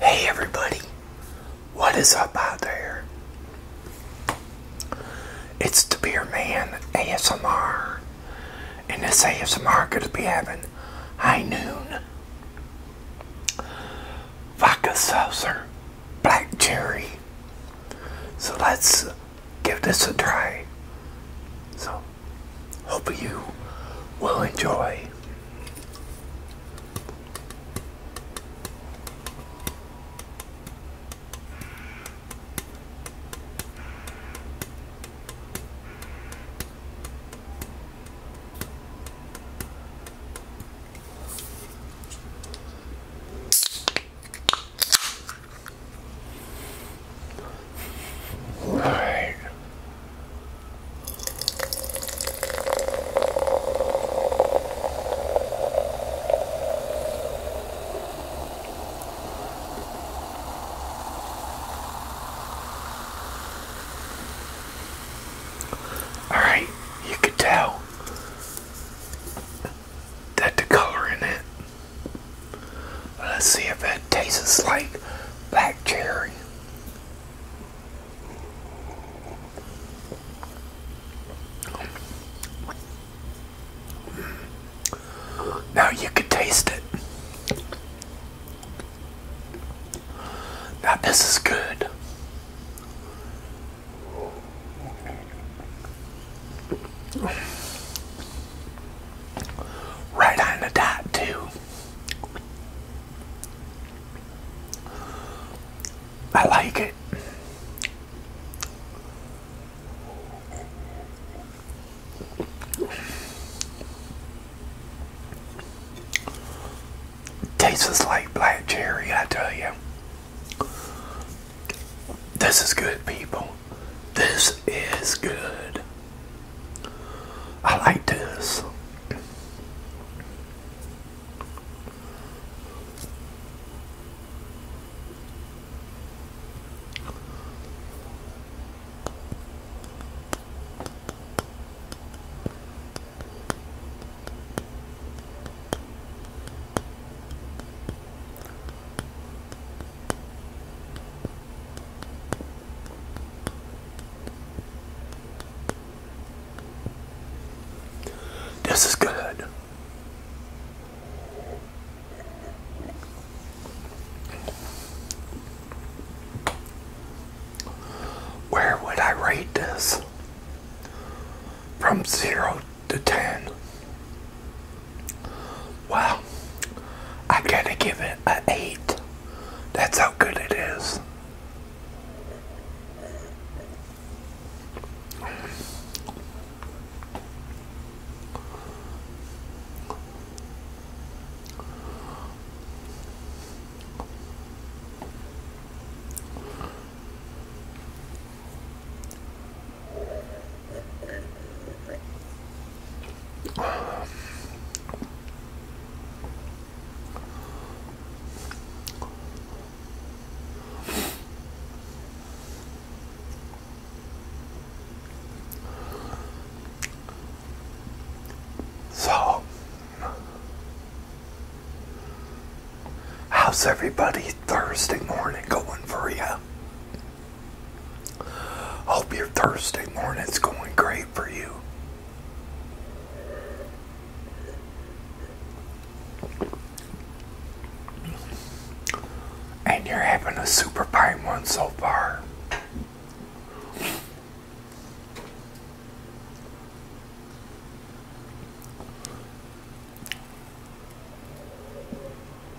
Hey everybody, what is up out there? It's the Beer Man ASMR, and this ASMR going to be having high noon vodka seltzer, black cherry. So let's give this a try. So Hope you will enjoy. All right. All right, you could tell that the color in it. Let's see if that tastes like black cherry. Now you can taste it. Now this is good. Right on the dot too. I like it. Tastes like black cherry, I tell you. This is good, people. This is good. I like this. This is good. Where would I rate this? From 0 to 10. Well, I gotta give it an 8. That's how good it is. So, how's everybody Thursday morning going for you? Hope your Thursday morning's going great for you. And you're having a super fine one so far.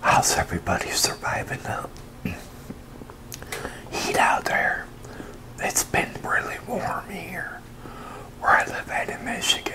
How's everybody surviving the heat out there? It's been really warm here where I live at in Michigan.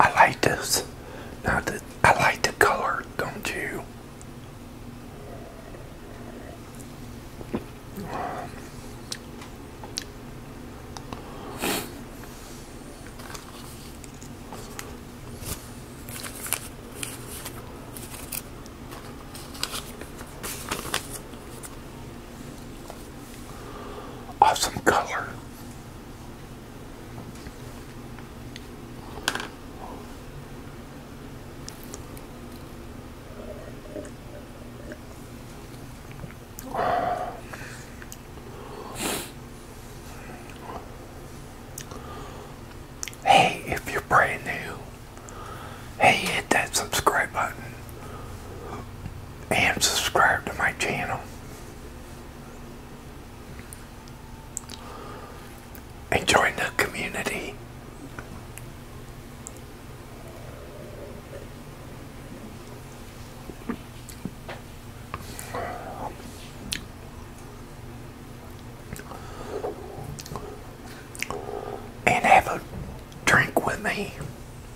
I like this. Now that I like the color, don't you? awesome color. Hey, if you're brand new, hey, hit that subscribe button and subscribe to my channel. And join the community. And have a drink with me.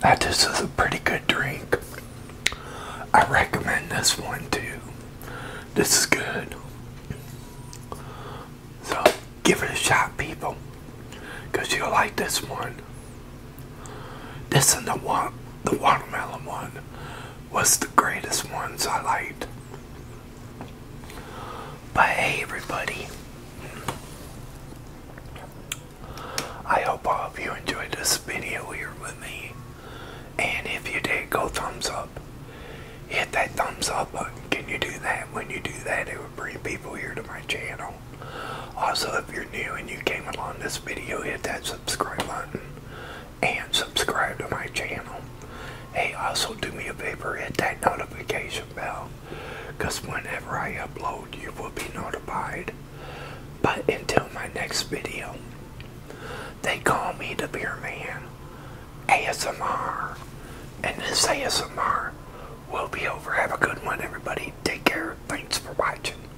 That this is a pretty good drink. I recommend this one too. This is good. So give it a shot, people, because you'll like this one. This and the wa the watermelon one was the greatest ones I liked. But everybody. I hope all of you enjoyed this video here with me. And if you did, go thumbs up. Hit that thumbs up button. Can you do that? When you do that, it would bring people here to my channel. Also, if you're new and you came along this video, hit that subscribe button and subscribe to my channel. Hey, also do me a favor, hit that notification bell, because whenever I upload, you will be notified. But until my next video, they call me the Beer Man ASMR, and this ASMR will be over. Have a good one, everybody. Take care. Thanks for watching.